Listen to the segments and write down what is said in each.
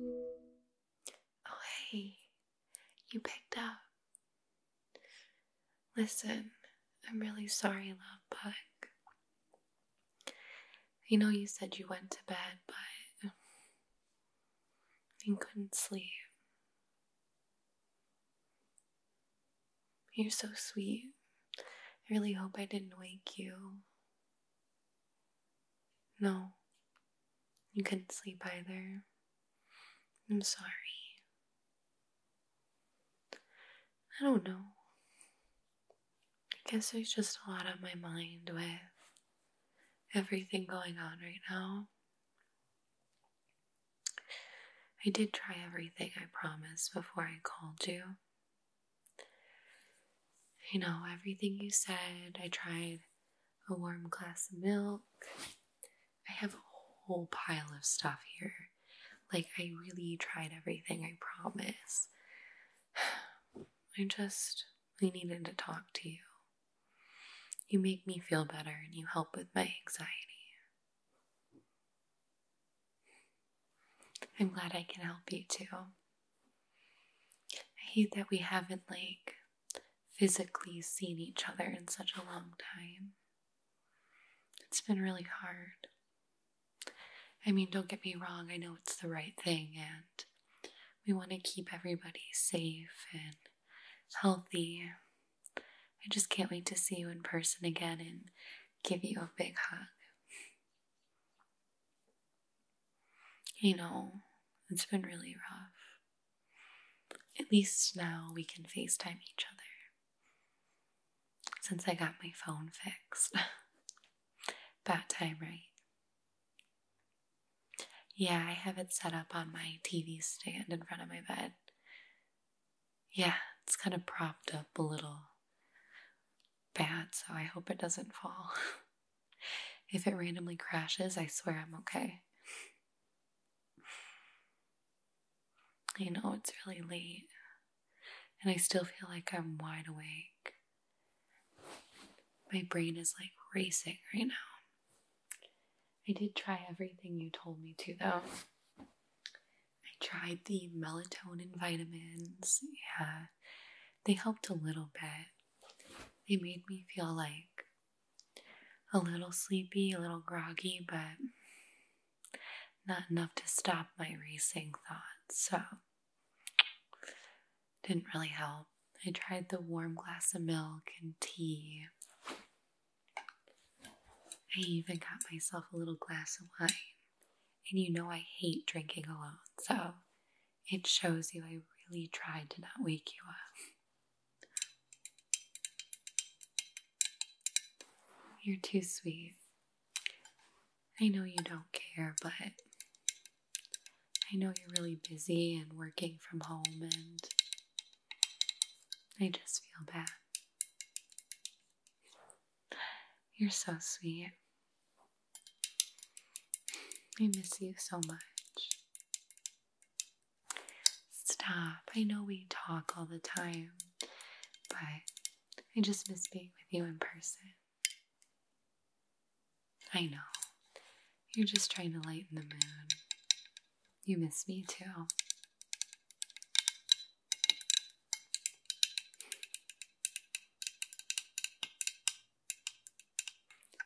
Oh, hey, you picked up. Listen, I'm really sorry, love bug. I know you said you went to bed, but you couldn't sleep. You're so sweet. I really hope I didn't wake you. No, you couldn't sleep either. I'm sorry. I don't know. I guess there's just a lot on my mind with everything going on right now. I did try everything I promised before I called you. You know, everything you said, I tried a warm glass of milk. I have a whole pile of stuff here. Like, I really tried everything I promised. I just, I needed to talk to you. You make me feel better and you help with my anxiety. I'm glad I can help you too. I hate that we haven't, like, physically seen each other in such a long time. It's been really hard. I mean, don't get me wrong, I know it's the right thing, and we want to keep everybody safe and healthy I just can't wait to see you in person again and give you a big hug. You know, it's been really rough. At least now we can FaceTime each other. Since I got my phone fixed. Bad time, right? Yeah, I have it set up on my TV stand in front of my bed. Yeah, it's kind of propped up a little bad, so I hope it doesn't fall. if it randomly crashes, I swear I'm okay. I know it's really late, and I still feel like I'm wide awake. My brain is like racing right now. I did try everything you told me to, though. I tried the melatonin vitamins. Yeah, they helped a little bit. They made me feel like a little sleepy, a little groggy, but not enough to stop my racing thoughts. So, didn't really help. I tried the warm glass of milk and tea. I even got myself a little glass of wine, and you know I hate drinking alone, so it shows you I really tried to not wake you up. You're too sweet. I know you don't care, but I know you're really busy and working from home, and I just feel bad. You're so sweet. I miss you so much. Stop. I know we talk all the time, but I just miss being with you in person. I know. You're just trying to lighten the mood. You miss me too.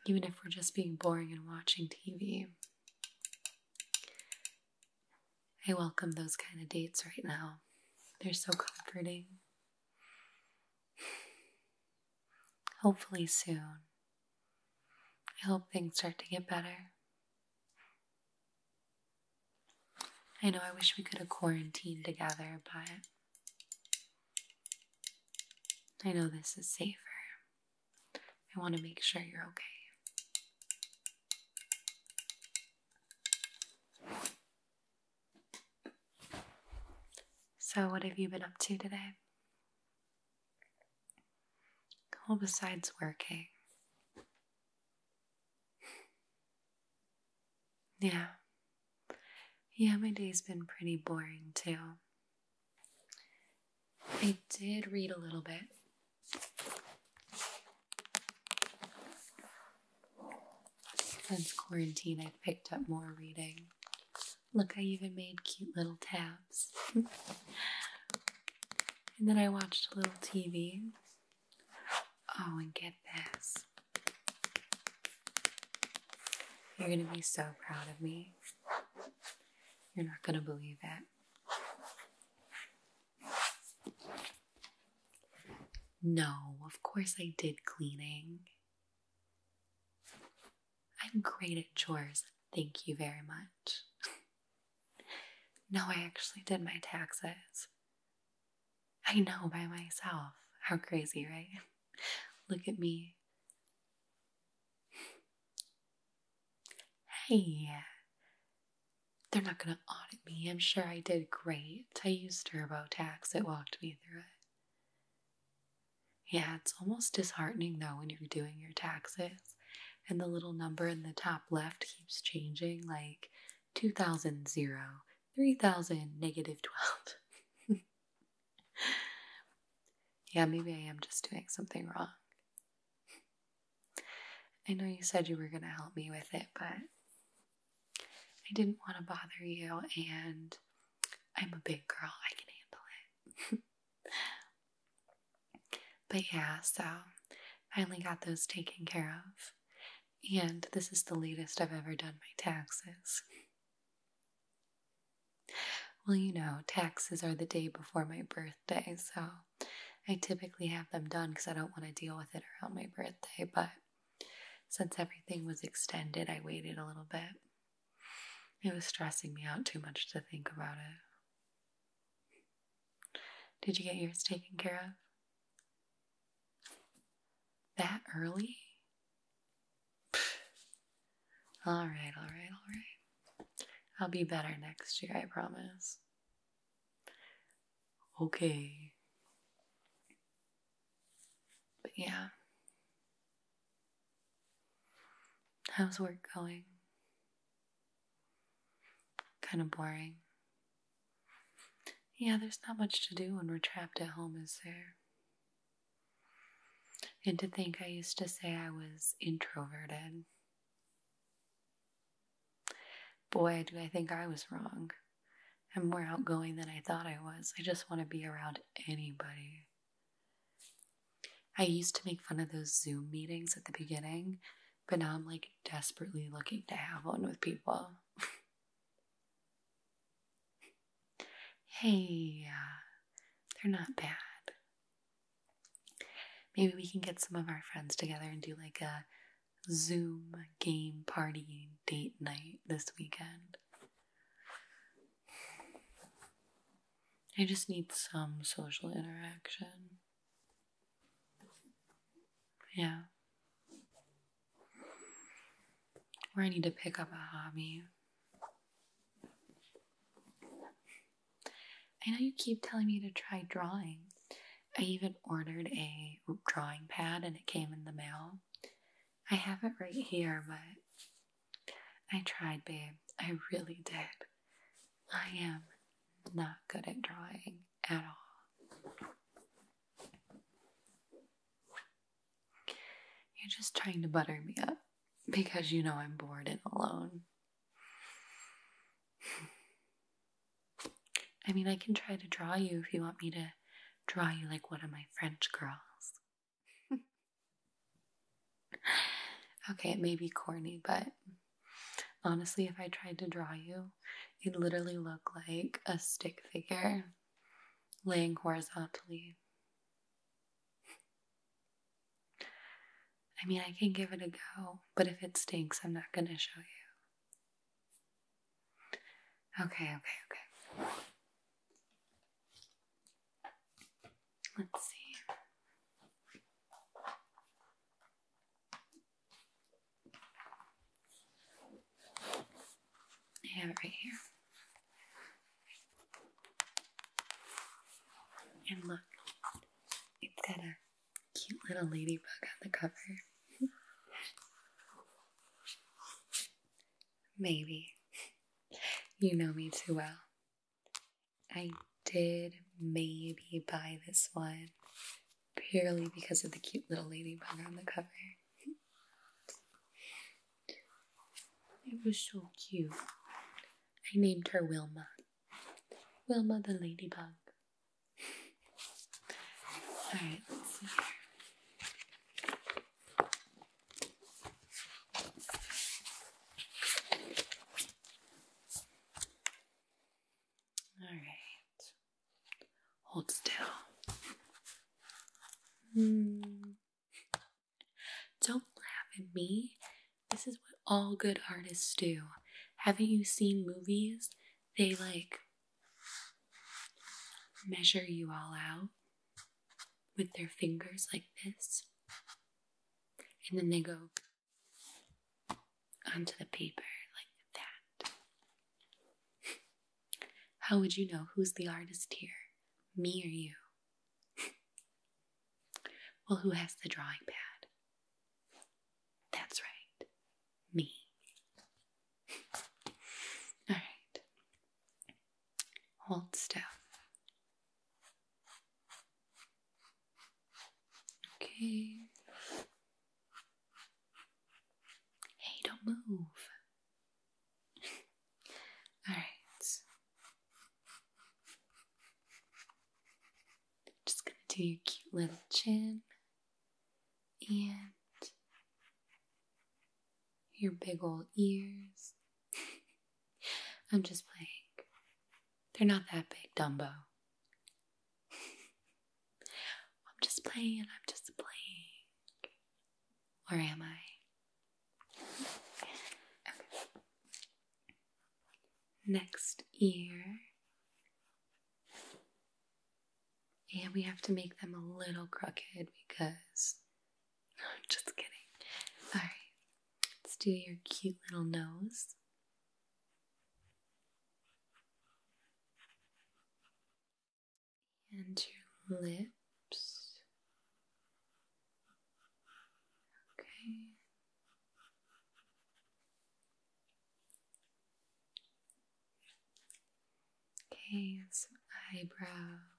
Even if we're just being boring and watching TV, I welcome those kind of dates right now. They're so comforting. Hopefully, soon. I hope things start to get better. I know I wish we could have quarantined together, but I know this is safer. I want to make sure you're okay. So, what have you been up to today? Well, besides working, yeah. Yeah, my day's been pretty boring too. I did read a little bit. Since quarantine, I've picked up more reading. Look, I even made cute little tabs. And then I watched a little TV. Oh, and get this. You're gonna be so proud of me. You're not gonna believe it. No, of course I did cleaning. I'm great at chores. Thank you very much. No, I actually did my taxes. I know by myself. How crazy, right? Look at me. Hey, they're not gonna audit me. I'm sure I did great. I used TurboTax, it walked me through it. Yeah, it's almost disheartening though when you're doing your taxes and the little number in the top left keeps changing like 2000 3000 negative 12 yeah maybe i am just doing something wrong i know you said you were going to help me with it but i didn't want to bother you and i'm a big girl i can handle it But yeah, so finally got those taken care of. And this is the latest I've ever done my taxes. Well, you know, taxes are the day before my birthday, so I typically have them done because I don't want to deal with it around my birthday. But since everything was extended, I waited a little bit. It was stressing me out too much to think about it. Did you get yours taken care of? That early? all right, all right, all right. I'll be better next year, I promise. Okay. But yeah. How's work going? Kind of boring. Yeah, there's not much to do when we're trapped at home, is there? And to think I used to say I was introverted. Boy, do I think I was wrong. I'm more outgoing than I thought I was. I just want to be around anybody. I used to make fun of those Zoom meetings at the beginning but now I'm like desperately looking to have one with people. hey, they're not bad. Maybe we can get some of our friends together and do like a Zoom game party date night this weekend. I just need some social interaction. Yeah. Where I need to pick up a hobby. I know you keep telling me to try drawing. I even ordered a drawing pad and it came in the mail. I have it right here, but I tried, babe. I really did. I am not good at drawing at all. You're just trying to butter me up because you know I'm bored and alone. I mean, I can try to draw you if you want me to draw you like one of my French girls okay, it may be corny, but honestly, if I tried to draw you, you'd literally look like a stick figure laying horizontally. I mean, I can give it a go, but if it stinks, I'm not going to show you. Okay, okay, okay. Let's see. I have it right here. And look, it's got a cute little ladybug on the cover. Maybe. You know me too well. I did maybe buy this one purely because of the cute little ladybug on the cover. it was so cute. I named her Wilma. Wilma the ladybug. Alright, all right. Hold still. Hmm. Don't laugh at me. This is what all good artists do. Haven't you seen movies? They like measure you all out with their fingers like this. And then they go onto the paper like that. How would you know who's the artist here? Me or you? well, who has the drawing pad? That's right, me. All right, hold still. Okay. Hey, don't move. All right. Just gonna do your cute little chin and your big old ears. I'm just playing. They're not that big, Dumbo. I'm just playing, I'm just playing. Where am I? Next ear. And we have to make them a little crooked because. I'm just kidding. Alright, let's do your cute little nose and your lips. Okay. Okay, some eyebrows.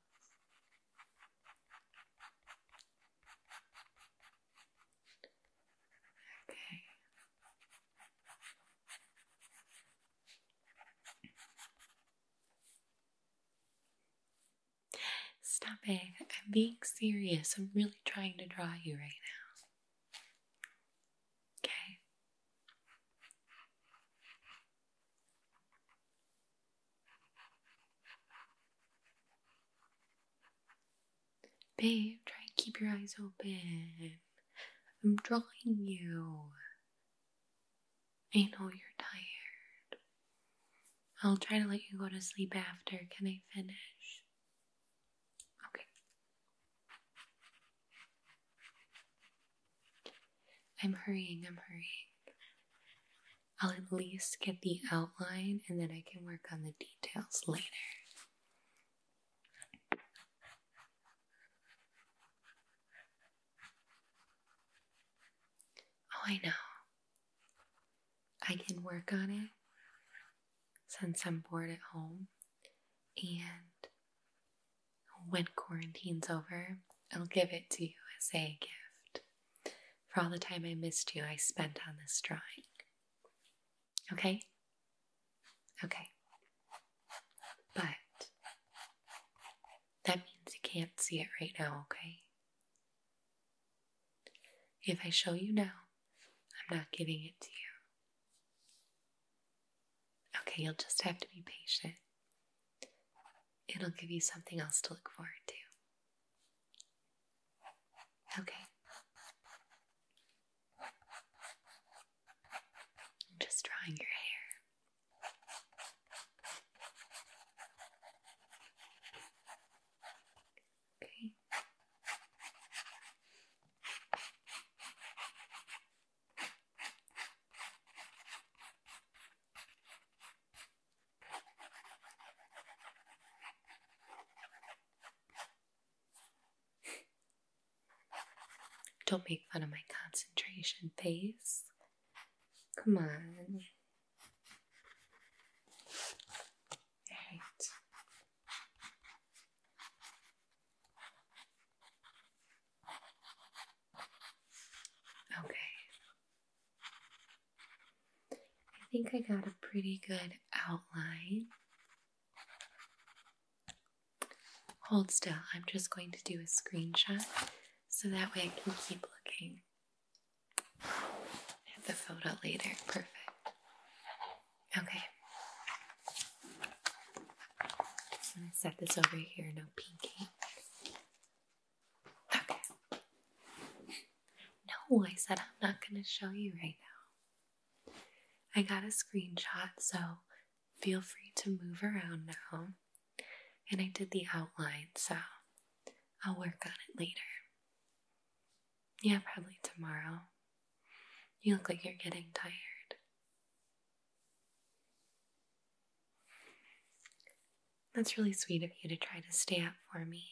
Stop it. I'm being serious. I'm really trying to draw you right now. Okay. Babe, try and keep your eyes open. I'm drawing you. I know you're tired. I'll try to let you go to sleep after. Can I finish? Okay. I'm hurrying, I'm hurrying. I'll at least get the outline and then I can work on the details later. Oh, I know. I can work on it since I'm bored at home, and when quarantine's over, I'll give it to you as a gift for all the time I missed you I spent on this drawing. Okay? Okay. But that means you can't see it right now, okay? If I show you now, I'm not giving it to you. Okay, you'll just have to be patient. It'll give you something else to look forward to. Okay. I'm just drawing your hair. Okay. Don't make fun of my concentration face. Come on. All right. Okay. I think I got a pretty good outline. Hold still, I'm just going to do a screenshot so that way I can keep looking at the photo later. Perfect. Okay. I'm going to set this over here, no pinky. Okay. No, I said I'm not going to show you right now. I got a screenshot, so feel free to move around now. And I did the outline, so I'll work on it later. Yeah, probably tomorrow. You look like you're getting tired. That's really sweet of you to try to stay up for me.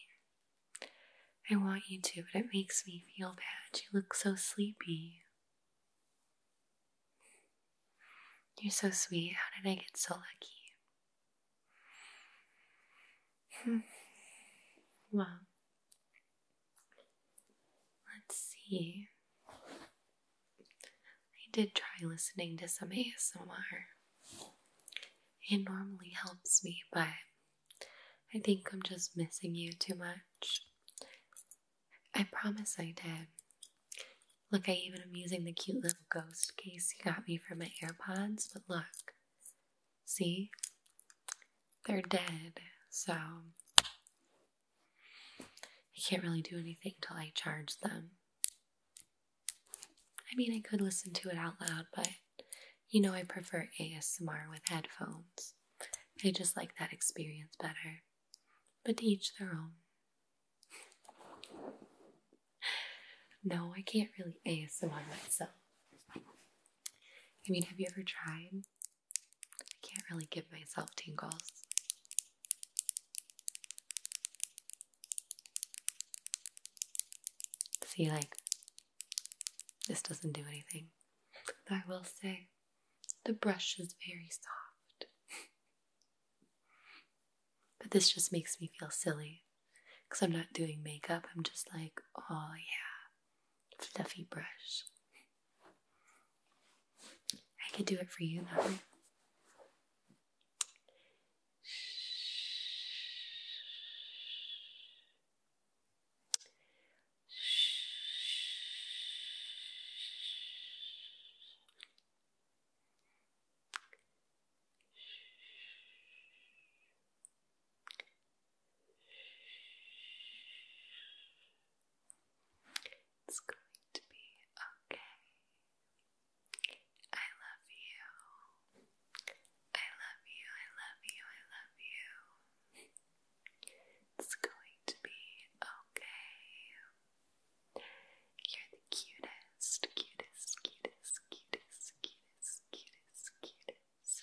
I want you to, but it makes me feel bad. You look so sleepy. You're so sweet. How did I get so lucky? Hmm. well, let's see. I did try listening to some ASMR. It normally helps me, but I think I'm just missing you too much. I promise I did. Look, I even am using the cute little ghost case you got me for my AirPods, but look. See? They're dead, so I can't really do anything till I charge them. I mean, I could listen to it out loud, but you know, I prefer ASMR with headphones. I just like that experience better. But each their own. no, I can't really ASMR myself. I mean, have you ever tried? I can't really give myself tingles. See, like, this doesn't do anything. I will say, the brush is very soft. but this just makes me feel silly. Because I'm not doing makeup, I'm just like, oh yeah, fluffy brush. I could do it for you that it's going to be okay. I love you. I love you. I love you. I love you. It's going to be okay. You're the cutest, cutest, cutest, cutest, cutest, cutest, cutest.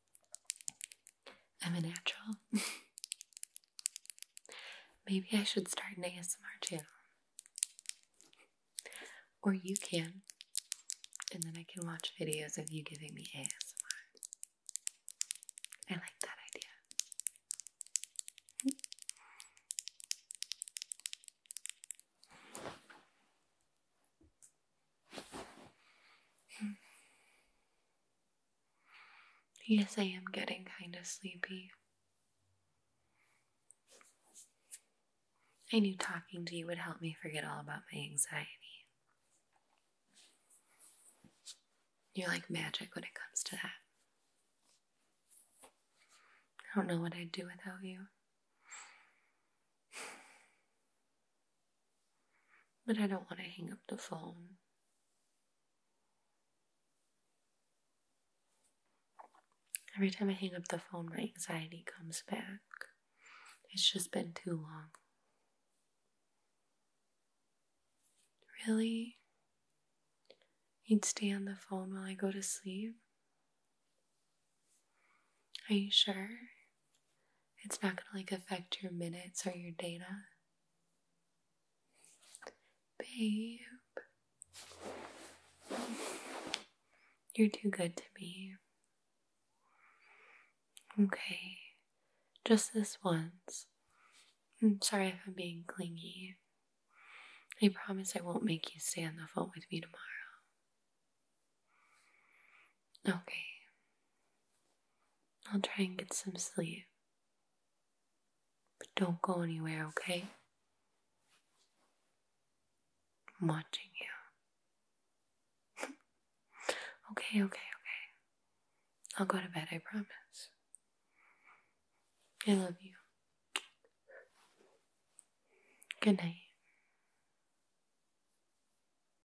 I'm a natural. Maybe I should start an ASMR channel. Or you can, and then I can watch videos of you giving me ASMR. I like that idea. Yes, I am getting kind of sleepy. I knew talking to you would help me forget all about my anxiety. You're like magic when it comes to that. I don't know what I'd do without you. But I don't want to hang up the phone. Every time I hang up the phone, my anxiety comes back. It's just been too long. Really? You'd stay on the phone while I go to sleep? Are you sure? it's not gonna like affect your minutes or your data. Babe, you're too good to me. Okay, just this once. I'm mm, sorry if I'm being clingy. I promise I won't make you stay on the phone with me tomorrow. Okay. I'll try and get some sleep. But don't go anywhere, okay? I'm watching you. okay, okay, okay. I'll go to bed, I promise. I love you. Good night.